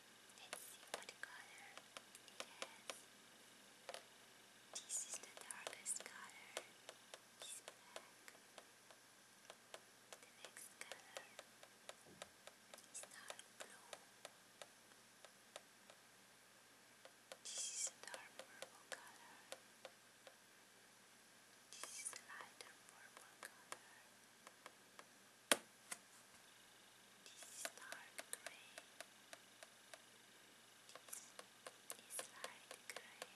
Let's see what color it has. This is the darkest color. It's black. The next color is dark blue. This is a dark purple color. This is a lighter purple color. This is dark grey. This is light grey.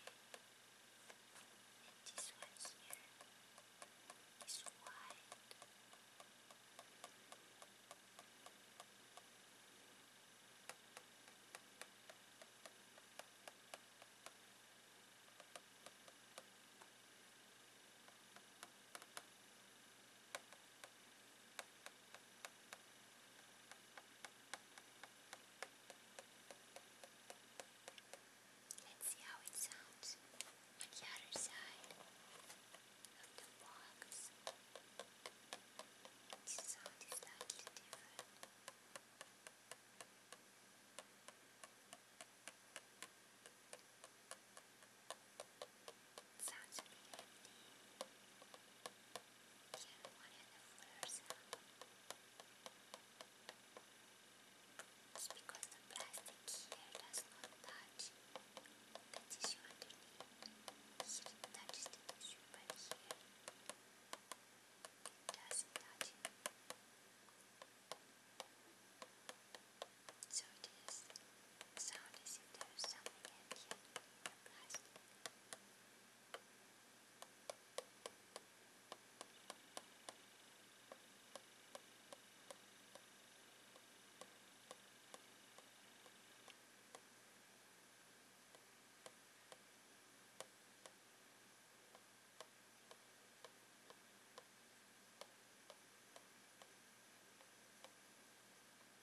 And this one here is white. This Let's see how it sounds on the other side of the box. The sound is slightly different. Sounds really because the plastic here does not touch the tissue underneath. Here it touches the tissue, but here it doesn't touch so this sound is if there is something ambient in the plastic.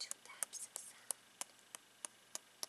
Two taps of sand. Two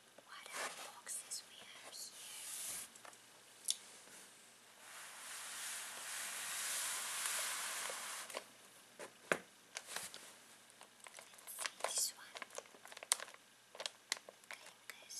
what other boxes we have here. Let's see this one. Clinkers. Let's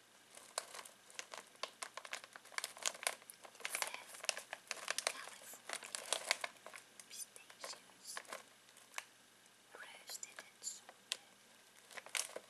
California pistachios, roasted and salted. California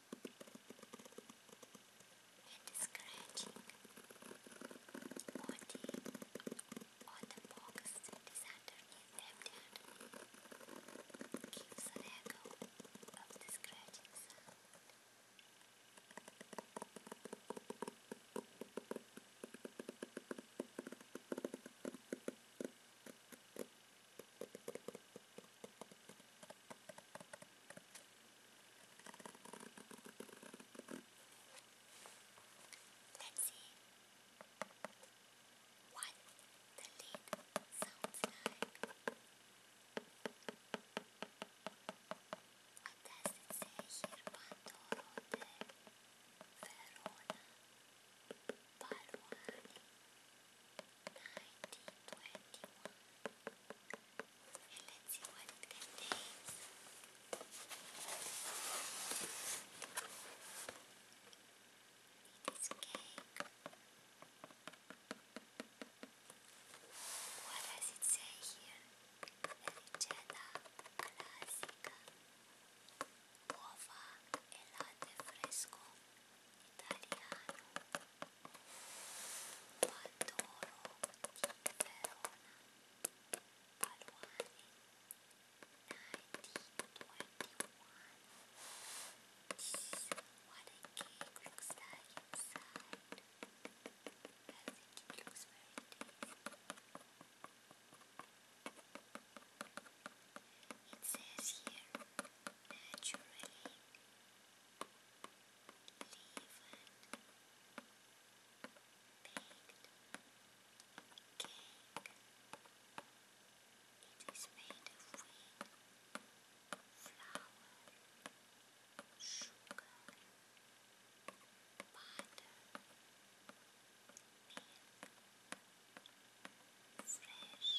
and scratching on the, on the box that is underneath, empty underneath gives an echo of the scratching sound. Let's see what the lid sounds like. What does it say here? Pandoro Verona Balwani 1921 and let what does it say here? Ricetta classica. Uova e latte fresco italiano. Pandoro di what a cake looks like inside. I looks very It says here, naturally. It is made of wheat, flour, sugar, butter, milk, fresh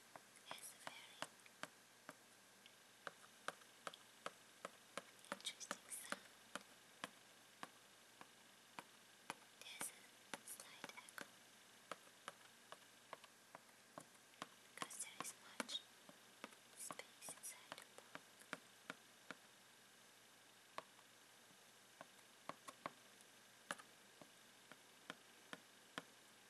is very interesting sound. There's a slight echo because there is much space inside